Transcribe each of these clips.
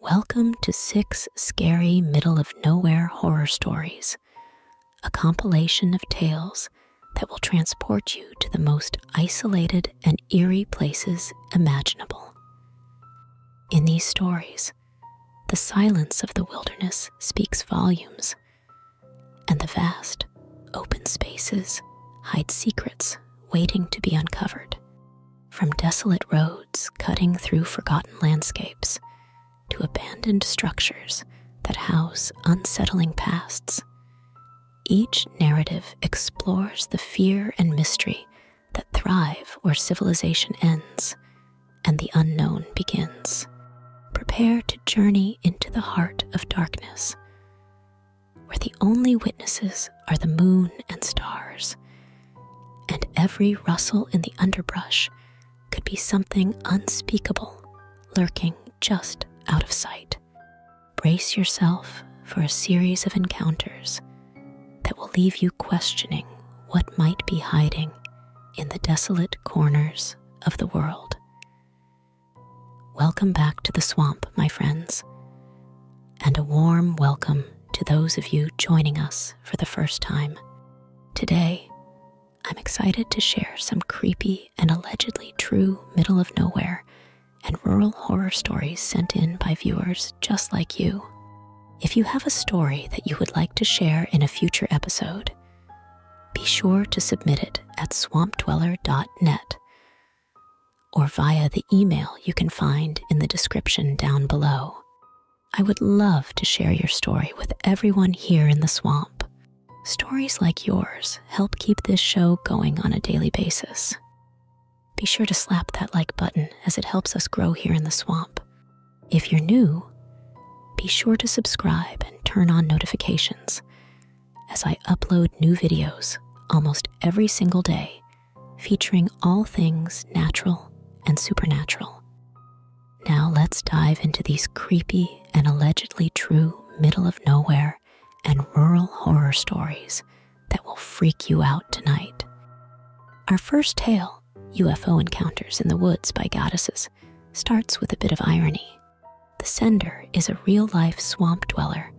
Welcome to Six Scary Middle of Nowhere Horror Stories, a compilation of tales that will transport you to the most isolated and eerie places imaginable. In these stories, the silence of the wilderness speaks volumes, and the vast, open spaces hide secrets waiting to be uncovered. From desolate roads cutting through forgotten landscapes to abandoned structures that house unsettling pasts, each narrative explores the fear and mystery that thrive where civilization ends and the unknown begins. Prepare to journey into the heart of darkness, where the only witnesses are the moon and stars, and every rustle in the underbrush could be something unspeakable lurking just out of sight. Brace yourself for a series of encounters that will leave you questioning what might be hiding in the desolate corners of the world. Welcome back to the swamp, my friends and a warm welcome to those of you joining us for the first time. Today, I'm excited to share some creepy and allegedly true middle of nowhere and rural horror stories sent in by viewers just like you. If you have a story that you would like to share in a future episode, be sure to submit it at swampdweller.net or via the email you can find in the description down below. I would love to share your story with everyone here in the swamp. Stories like yours help keep this show going on a daily basis. Be sure to slap that like button as it helps us grow here in the swamp. If you're new, be sure to subscribe and turn on notifications as I upload new videos almost every single day featuring all things natural and supernatural. Now let's dive into these creepy and allegedly true middle of nowhere and rural horror stories that will freak you out tonight. Our first tale, UFO Encounters in the Woods by Goddesses, starts with a bit of irony. The sender is a real life swamp dweller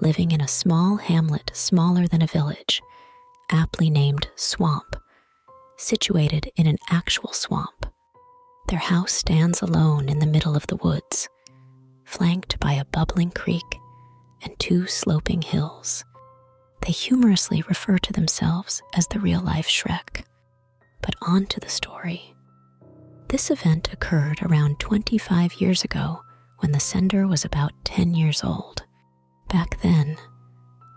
living in a small hamlet smaller than a village, aptly named Swamp, situated in an actual swamp. Their house stands alone in the middle of the woods, flanked by a bubbling creek and two sloping hills. They humorously refer to themselves as the real life Shrek. But on to the story. This event occurred around 25 years ago when the sender was about 10 years old. Back then,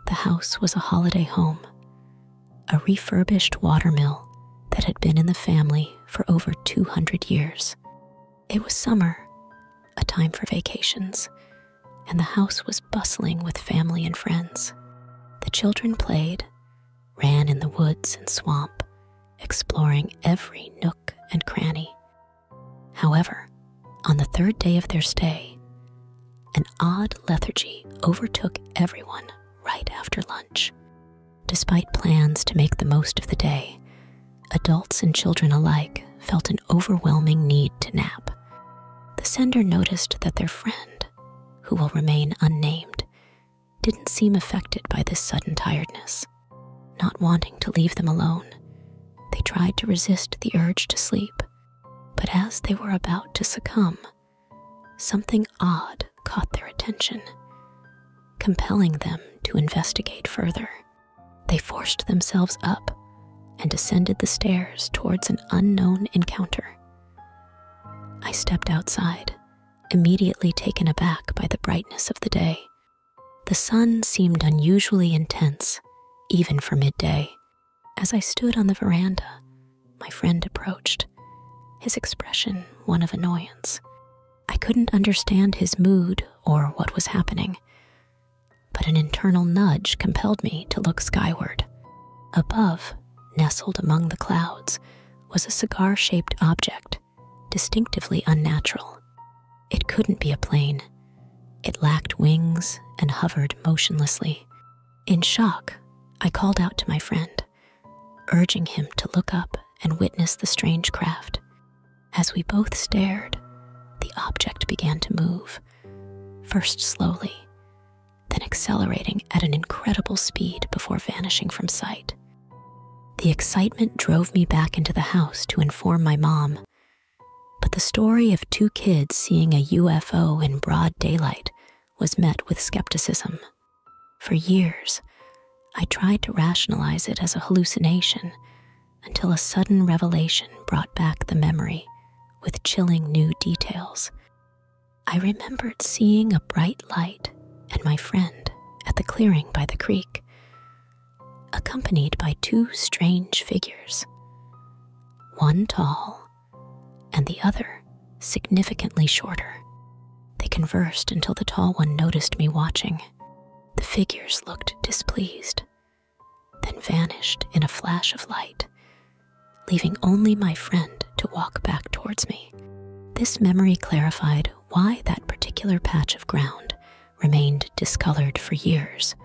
the house was a holiday home, a refurbished watermill that had been in the family for over 200 years. It was summer, a time for vacations, and the house was bustling with family and friends. The children played, ran in the woods and swamp, exploring every nook and cranny. However, on the third day of their stay, an odd lethargy overtook everyone right after lunch. Despite plans to make the most of the day, adults and children alike felt an overwhelming need to nap. The sender noticed that their friend, who will remain unnamed, didn't seem affected by this sudden tiredness. Not wanting to leave them alone, they tried to resist the urge to sleep, but as they were about to succumb, something odd caught their attention, compelling them to investigate further. They forced themselves up and ascended the stairs towards an unknown encounter. I stepped outside, immediately taken aback by the brightness of the day the sun seemed unusually intense, even for midday. As I stood on the veranda, my friend approached, his expression one of annoyance. I couldn't understand his mood or what was happening, but an internal nudge compelled me to look skyward. Above, nestled among the clouds, was a cigar shaped object distinctively unnatural. It couldn't be a plane. It lacked wings and hovered motionlessly. In shock, I called out to my friend, urging him to look up and witness the strange craft. As we both stared, the object began to move, first slowly, then accelerating at an incredible speed before vanishing from sight. The excitement drove me back into the house to inform my mom. But the story of two kids seeing a UFO in broad daylight was met with skepticism. For years, I tried to rationalize it as a hallucination until a sudden revelation brought back the memory with chilling new details. I remembered seeing a bright light and my friend at the clearing by the creek accompanied by two strange figures, one tall and the other significantly shorter. They conversed until the tall one noticed me watching. The figures looked displeased, then vanished in a flash of light, leaving only my friend to walk back towards me. This memory clarified why that particular patch of ground remained discolored for years,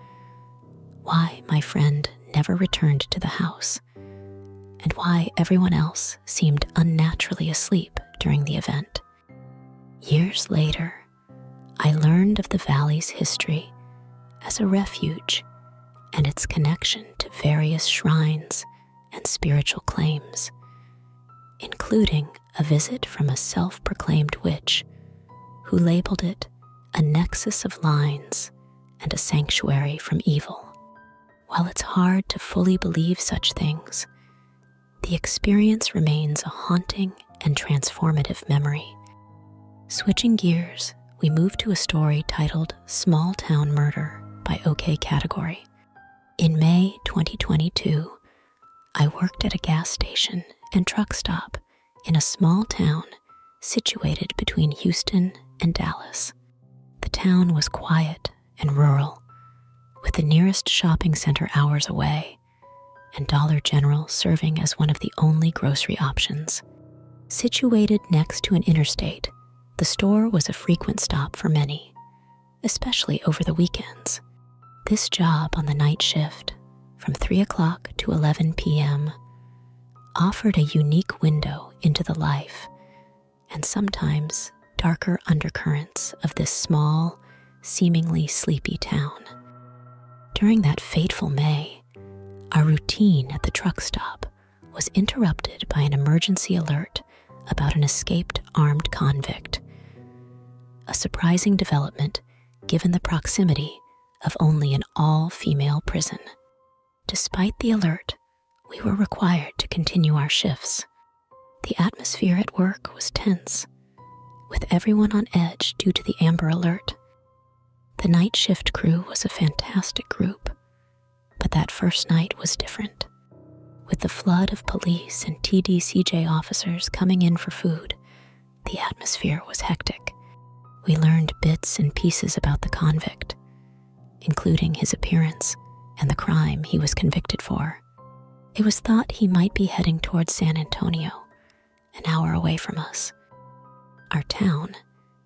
why my friend never returned to the house, and why everyone else seemed unnaturally asleep during the event. Years later, I learned of the valley's history as a refuge and its connection to various shrines and spiritual claims, including a visit from a self proclaimed witch who labeled it a nexus of lines and a sanctuary from evil. While it's hard to fully believe such things, the experience remains a haunting and transformative memory. Switching gears, we move to a story titled Small Town Murder by OK Category. In May 2022, I worked at a gas station and truck stop in a small town situated between Houston and Dallas. The town was quiet and rural, with the nearest shopping center hours away and Dollar General serving as one of the only grocery options. Situated next to an interstate, the store was a frequent stop for many, especially over the weekends. This job on the night shift from 3 o'clock to 11 p.m. offered a unique window into the life and sometimes darker undercurrents of this small, seemingly sleepy town. During that fateful May, our routine at the truck stop was interrupted by an emergency alert about an escaped armed convict. A surprising development given the proximity of only an all female prison. Despite the alert, we were required to continue our shifts. The atmosphere at work was tense, with everyone on edge due to the Amber Alert. The night shift crew was a fantastic group, but that first night was different. With the flood of police and TDCJ officers coming in for food, the atmosphere was hectic. We learned bits and pieces about the convict, including his appearance and the crime he was convicted for. It was thought he might be heading towards San Antonio, an hour away from us. Our town,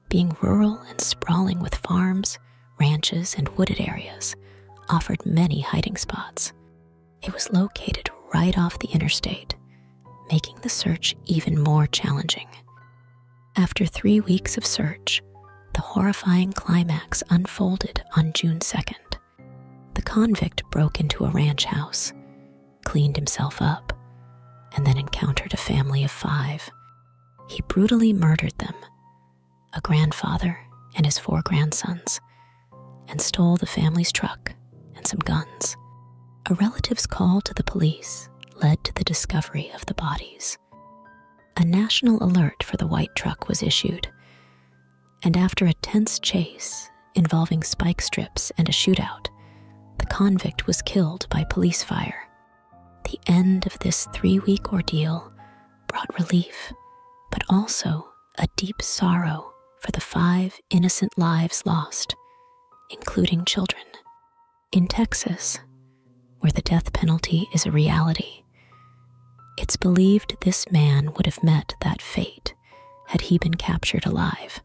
being rural and sprawling with farms, ranches, and wooded areas offered many hiding spots. It was located right off the interstate, making the search even more challenging. After three weeks of search, the horrifying climax unfolded on June 2nd. The convict broke into a ranch house, cleaned himself up, and then encountered a family of five. He brutally murdered them, a grandfather and his four grandsons, and stole the family's truck and some guns. A relative's call to the police led to the discovery of the bodies. A national alert for the white truck was issued, and after a tense chase involving spike strips and a shootout, the convict was killed by police fire. The end of this three week ordeal brought relief, but also a deep sorrow for the five innocent lives lost, including children. In Texas, where the death penalty is a reality, it's believed this man would have met that fate had he been captured alive.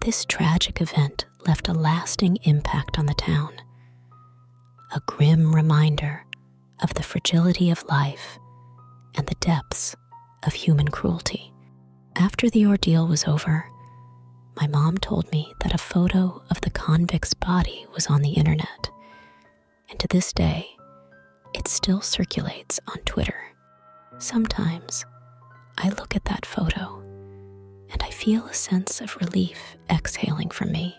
This tragic event left a lasting impact on the town, a grim reminder of the fragility of life and the depths of human cruelty. After the ordeal was over, my mom told me that a photo of the convict's body was on the internet, and to this day, it still circulates on Twitter. Sometimes I look at that photo and I feel a sense of relief exhaling from me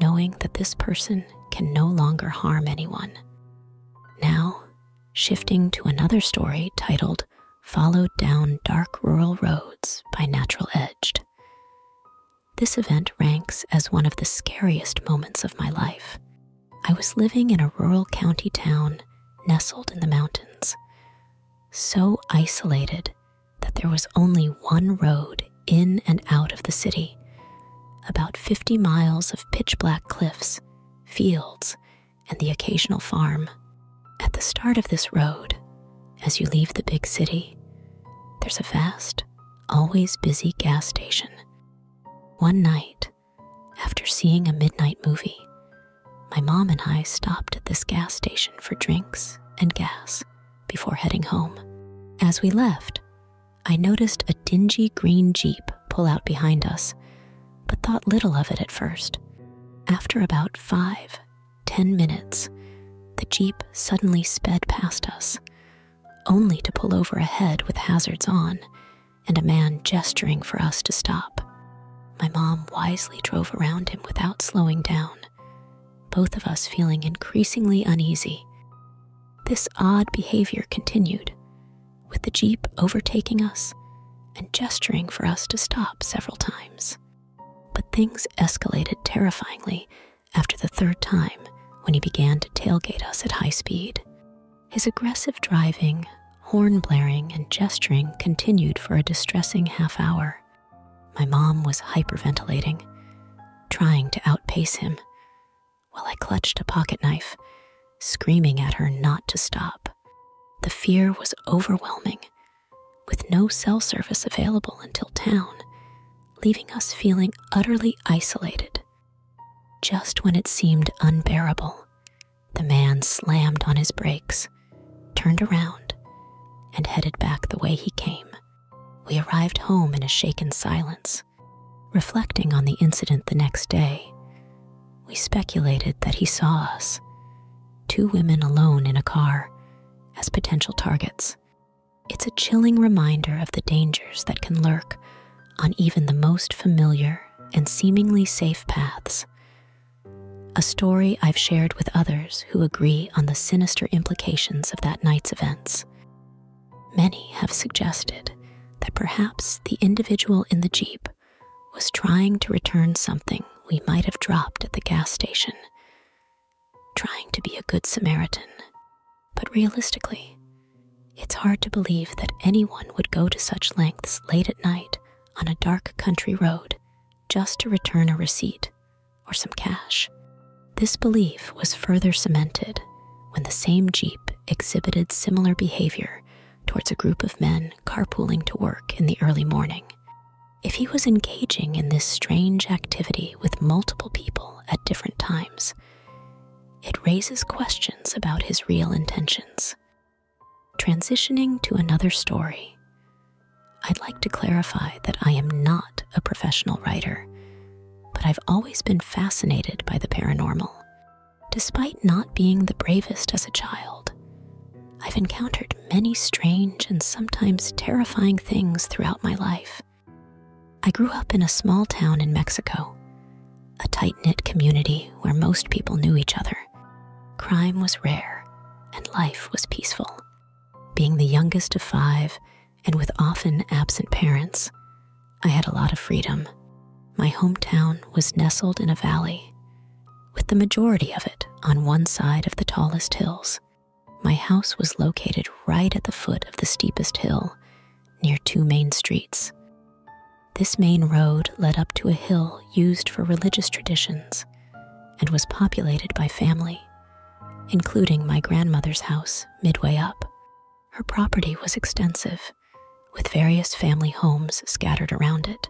knowing that this person can no longer harm anyone. Now, shifting to another story titled Followed Down Dark Rural Roads by Natural Edged. This event ranks as one of the scariest moments of my life. I was living in a rural county town nestled in the mountains, so isolated that there was only one road in and out of the city, about 50 miles of pitch black cliffs, fields, and the occasional farm. At the start of this road, as you leave the big city, there's a vast, always busy gas station. One night, after seeing a midnight movie, my mom and I stopped at this gas station for drinks and gas before heading home. As we left, I noticed a dingy green Jeep pull out behind us, but thought little of it at first. After about five, ten minutes, the Jeep suddenly sped past us, only to pull over ahead with hazards on and a man gesturing for us to stop. My mom wisely drove around him without slowing down, both of us feeling increasingly uneasy. This odd behavior continued, with the Jeep overtaking us and gesturing for us to stop several times. But things escalated terrifyingly after the third time when he began to tailgate us at high speed. His aggressive driving, horn blaring, and gesturing continued for a distressing half hour. My mom was hyperventilating, trying to outpace him, while I clutched a pocket knife, screaming at her not to stop. The fear was overwhelming, with no cell service available until town, leaving us feeling utterly isolated. Just when it seemed unbearable, the man slammed on his brakes, turned around, and headed back the way he came we arrived home in a shaken silence. Reflecting on the incident the next day, we speculated that he saw us, two women alone in a car, as potential targets. It's a chilling reminder of the dangers that can lurk on even the most familiar and seemingly safe paths. A story I've shared with others who agree on the sinister implications of that night's events. Many have suggested that perhaps the individual in the Jeep was trying to return something we might have dropped at the gas station, trying to be a good Samaritan. But realistically, it's hard to believe that anyone would go to such lengths late at night on a dark country road just to return a receipt or some cash. This belief was further cemented when the same Jeep exhibited similar behavior towards a group of men carpooling to work in the early morning. If he was engaging in this strange activity with multiple people at different times, it raises questions about his real intentions. Transitioning to another story, I'd like to clarify that I am not a professional writer, but I've always been fascinated by the paranormal. Despite not being the bravest as a child, I've encountered many strange and sometimes terrifying things throughout my life. I grew up in a small town in Mexico, a tight knit community where most people knew each other. Crime was rare and life was peaceful. Being the youngest of five and with often absent parents, I had a lot of freedom. My hometown was nestled in a valley, with the majority of it on one side of the tallest hills. My house was located right at the foot of the steepest hill, near two main streets. This main road led up to a hill used for religious traditions and was populated by family including my grandmother's house midway up. Her property was extensive, with various family homes scattered around it.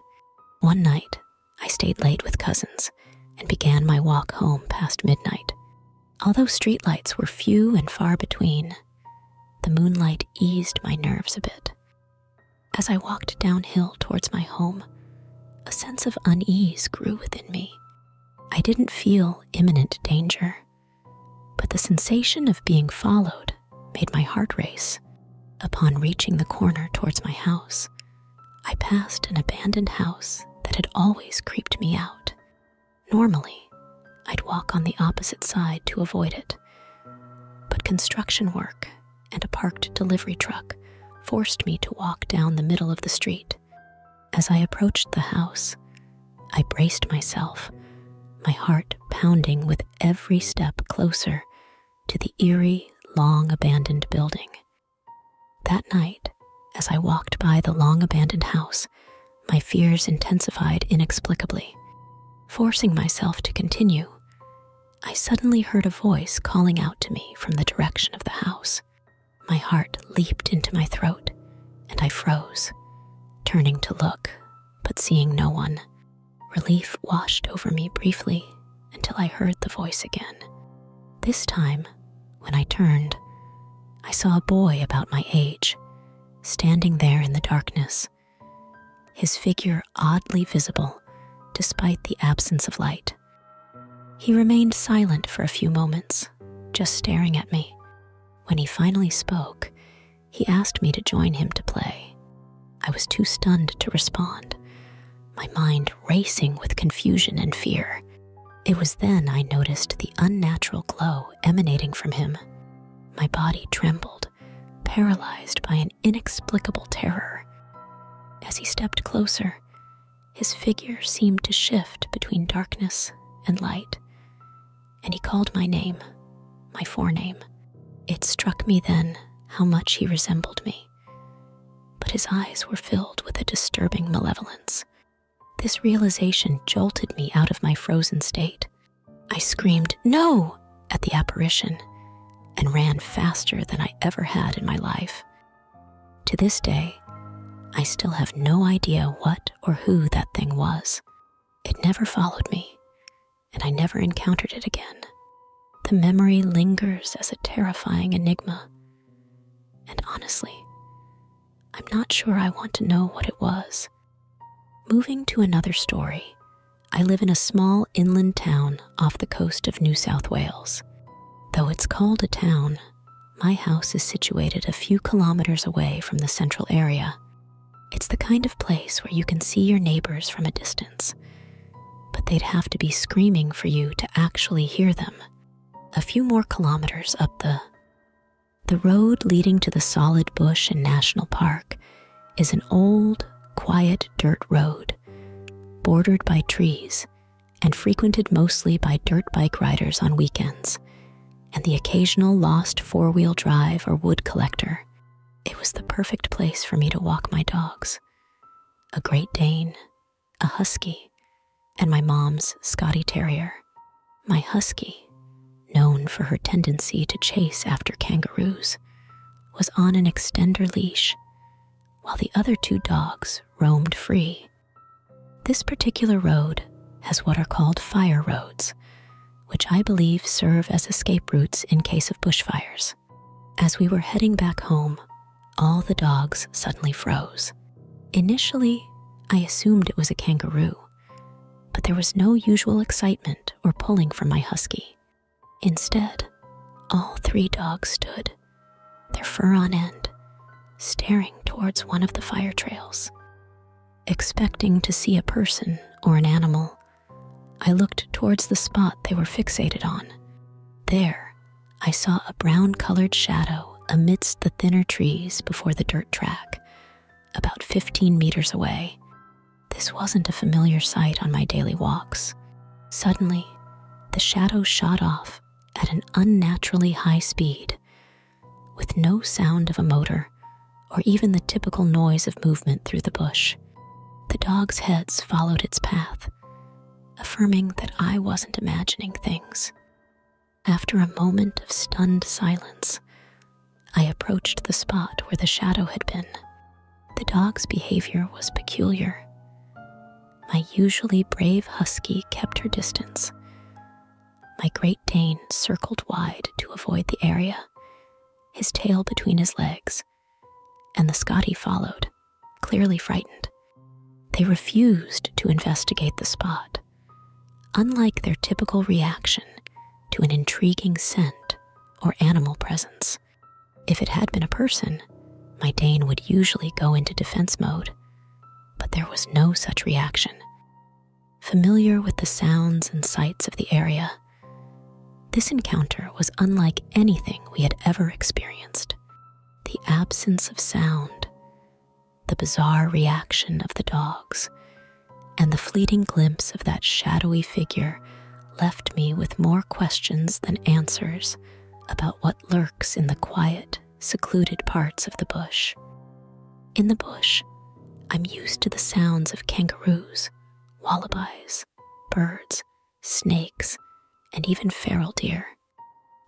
One night, I stayed late with cousins and began my walk home past midnight. Although streetlights were few and far between, the moonlight eased my nerves a bit. As I walked downhill towards my home, a sense of unease grew within me. I didn't feel imminent danger, but the sensation of being followed made my heart race. Upon reaching the corner towards my house, I passed an abandoned house that had always creeped me out. Normally, I'd walk on the opposite side to avoid it, but construction work and a parked delivery truck forced me to walk down the middle of the street. As I approached the house, I braced myself, my heart pounding with every step closer to the eerie, long abandoned building. That night, as I walked by the long abandoned house, my fears intensified inexplicably. Forcing myself to continue, I suddenly heard a voice calling out to me from the direction of the house. My heart leaped into my throat, and I froze, turning to look, but seeing no one. Relief washed over me briefly until I heard the voice again. This time, when I turned, I saw a boy about my age, standing there in the darkness, his figure oddly visible despite the absence of light. He remained silent for a few moments, just staring at me. When he finally spoke, he asked me to join him to play. I was too stunned to respond, my mind racing with confusion and fear. It was then I noticed the unnatural glow emanating from him. My body trembled, paralyzed by an inexplicable terror. As he stepped closer, his figure seemed to shift between darkness and light, and he called my name, my forename. It struck me then how much he resembled me, but his eyes were filled with a disturbing malevolence. This realization jolted me out of my frozen state. I screamed, No! at the apparition and ran faster than I ever had in my life. To this day, I still have no idea what or who that thing was. It never followed me, and I never encountered it again. The memory lingers as a terrifying enigma. And honestly, I'm not sure I want to know what it was. Moving to another story, I live in a small inland town off the coast of New South Wales. Though it's called a town, my house is situated a few kilometers away from the central area. It's the kind of place where you can see your neighbors from a distance, but they'd have to be screaming for you to actually hear them. A few more kilometers up the the road leading to the solid bush and national park is an old, quiet dirt road, bordered by trees and frequented mostly by dirt bike riders on weekends, and the occasional lost four wheel drive or wood collector. It was the perfect place for me to walk my dogs a Great Dane, a Husky, and my mom's Scotty Terrier. My Husky, known for her tendency to chase after kangaroos, was on an extender leash, while the other two dogs roamed free. This particular road has what are called fire roads, which I believe serve as escape routes in case of bushfires. As we were heading back home, all the dogs suddenly froze. Initially, I assumed it was a kangaroo, but there was no usual excitement or pulling from my husky. Instead, all three dogs stood, their fur on end, staring towards one of the fire trails. Expecting to see a person or an animal, I looked towards the spot they were fixated on. There, I saw a brown colored shadow amidst the thinner trees before the dirt track, about 15 meters away. This wasn't a familiar sight on my daily walks. Suddenly, the shadow shot off at an unnaturally high speed, with no sound of a motor or even the typical noise of movement through the bush. The dog's heads followed its path, affirming that I wasn't imagining things. After a moment of stunned silence, I approached the spot where the shadow had been. The dog's behavior was peculiar. My usually brave husky kept her distance. My Great Dane circled wide to avoid the area, his tail between his legs, and the Scottie followed, clearly frightened. They refused to investigate the spot. Unlike their typical reaction to an intriguing scent or animal presence, if it had been a person, my Dane would usually go into defense mode, but there was no such reaction. Familiar with the sounds and sights of the area, this encounter was unlike anything we had ever experienced. The absence of sound, the bizarre reaction of the dogs, and the fleeting glimpse of that shadowy figure left me with more questions than answers about what lurks in the quiet, secluded parts of the bush. In the bush, I'm used to the sounds of kangaroos, wallabies, birds, snakes, and even feral deer.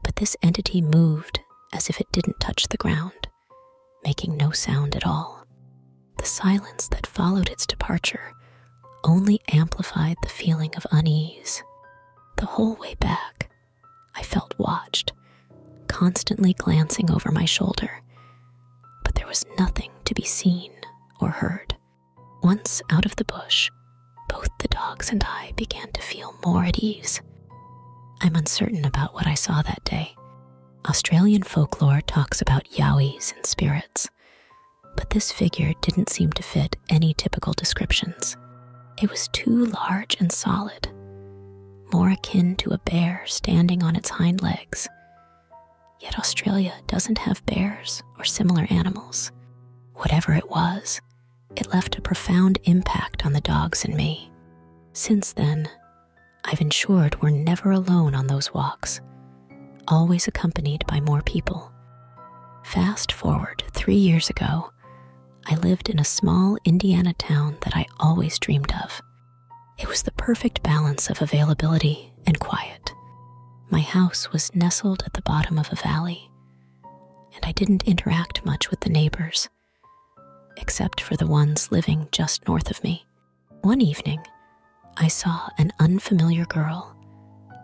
But this entity moved as if it didn't touch the ground, making no sound at all. The silence that followed its departure only amplified the feeling of unease. The whole way back, I felt watched, constantly glancing over my shoulder, but there was nothing to be seen or heard. Once out of the bush, both the dogs and I began to feel more at ease. I'm uncertain about what I saw that day. Australian folklore talks about yowies and spirits but this figure didn't seem to fit any typical descriptions. It was too large and solid, more akin to a bear standing on its hind legs. Yet Australia doesn't have bears or similar animals. Whatever it was, it left a profound impact on the dogs and me. Since then, I've ensured we're never alone on those walks, always accompanied by more people. Fast forward three years ago, I lived in a small Indiana town that I always dreamed of. It was the perfect balance of availability and quiet. My house was nestled at the bottom of a valley, and I didn't interact much with the neighbors, except for the ones living just north of me. One evening, I saw an unfamiliar girl,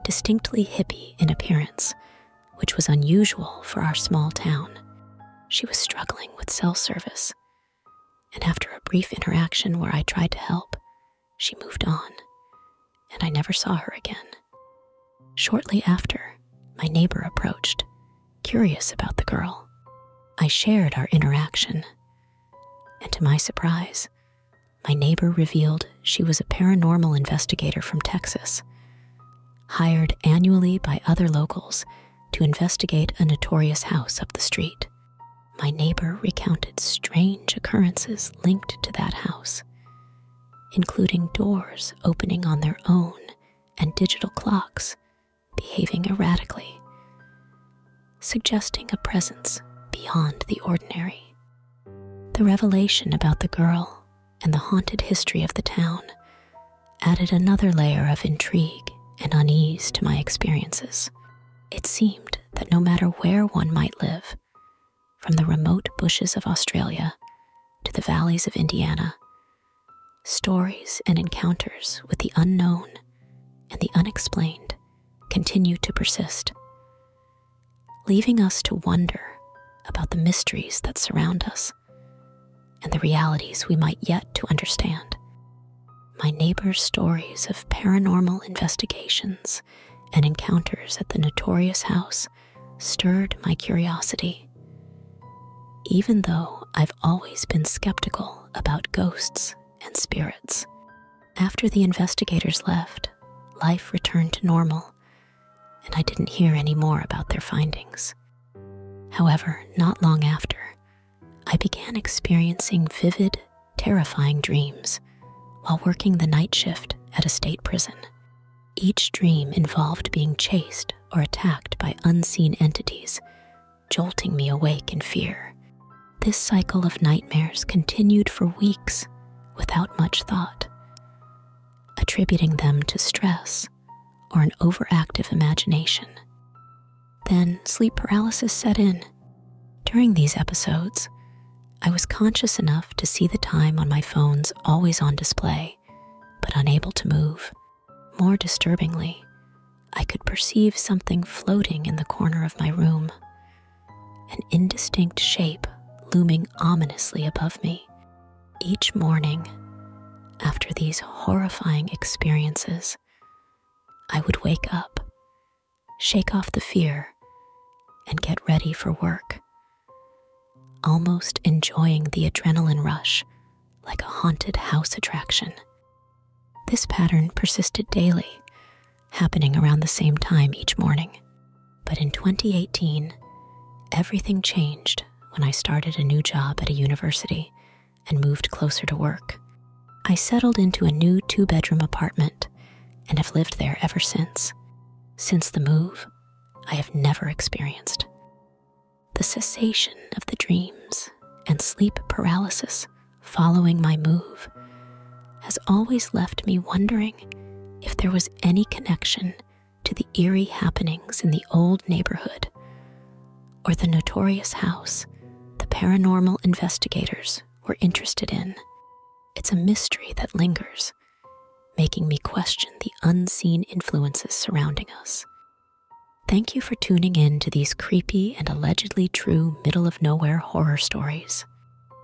distinctly hippie in appearance, which was unusual for our small town. She was struggling with cell service, and after a brief interaction where I tried to help, she moved on, and I never saw her again. Shortly after, my neighbor approached, curious about the girl. I shared our interaction, and to my surprise, my neighbor revealed she was a paranormal investigator from Texas, hired annually by other locals to investigate a notorious house up the street. My neighbor recounted strange occurrences linked to that house, including doors opening on their own and digital clocks behaving erratically suggesting a presence beyond the ordinary. The revelation about the girl and the haunted history of the town added another layer of intrigue and unease to my experiences. It seemed that no matter where one might live, from the remote bushes of Australia to the valleys of Indiana, stories and encounters with the unknown and the unexplained continue to persist, leaving us to wonder about the mysteries that surround us and the realities we might yet to understand. My neighbor's stories of paranormal investigations and encounters at the notorious house stirred my curiosity. Even though I've always been skeptical about ghosts and spirits. After the investigators left, life returned to normal, and I didn't hear any more about their findings. However, not long after, I began experiencing vivid, terrifying dreams while working the night shift at a state prison. Each dream involved being chased or attacked by unseen entities jolting me awake in fear. This cycle of nightmares continued for weeks without much thought, attributing them to stress or an overactive imagination. Then sleep paralysis set in. During these episodes, I was conscious enough to see the time on my phone's always on display, but unable to move. More disturbingly, I could perceive something floating in the corner of my room, an indistinct shape looming ominously above me. Each morning, after these horrifying experiences, I would wake up, shake off the fear, and get ready for work, almost enjoying the adrenaline rush like a haunted house attraction. This pattern persisted daily, happening around the same time each morning. But in 2018, everything changed when I started a new job at a university and moved closer to work. I settled into a new two bedroom apartment and have lived there ever since. Since the move, I have never experienced the cessation of the dreams and sleep paralysis following my move, has always left me wondering if there was any connection to the eerie happenings in the old neighborhood or the notorious house the paranormal investigators were interested in. It's a mystery that lingers, making me question the unseen influences surrounding us. Thank you for tuning in to these creepy and allegedly true middle of nowhere horror stories.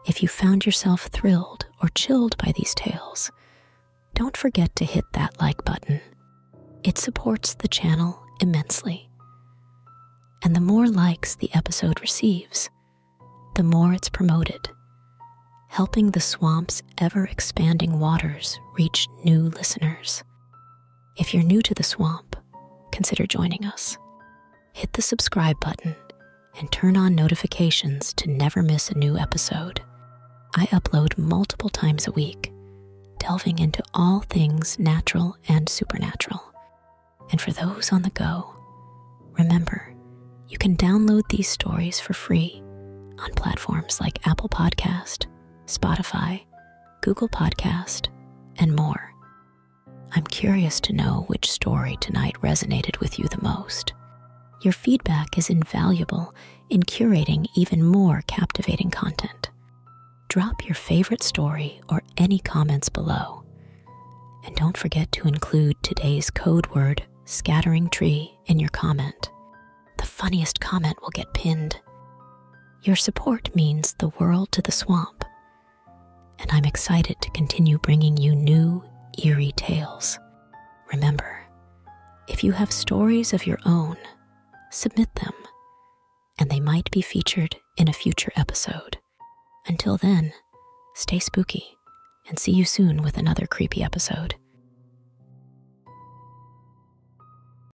If you found yourself thrilled or chilled by these tales, don't forget to hit that like button. It supports the channel immensely. And the more likes the episode receives, the more it's promoted, helping the swamp's ever expanding waters reach new listeners. If you're new to the swamp, consider joining us. Hit the subscribe button and turn on notifications to never miss a new episode. I upload multiple times a week, delving into all things natural and supernatural. And for those on the go, remember you can download these stories for free on platforms like Apple Podcast, Spotify, Google Podcast, and more. I'm curious to know which story tonight resonated with you the most. Your feedback is invaluable in curating even more captivating content. Drop your favorite story or any comments below. And don't forget to include today's code word, scattering tree, in your comment. The funniest comment will get pinned. Your support means the world to the swamp, and I'm excited to continue bringing you new, eerie tales. Remember, if you have stories of your own, submit them, and they might be featured in a future episode. Until then, stay spooky and see you soon with another creepy episode.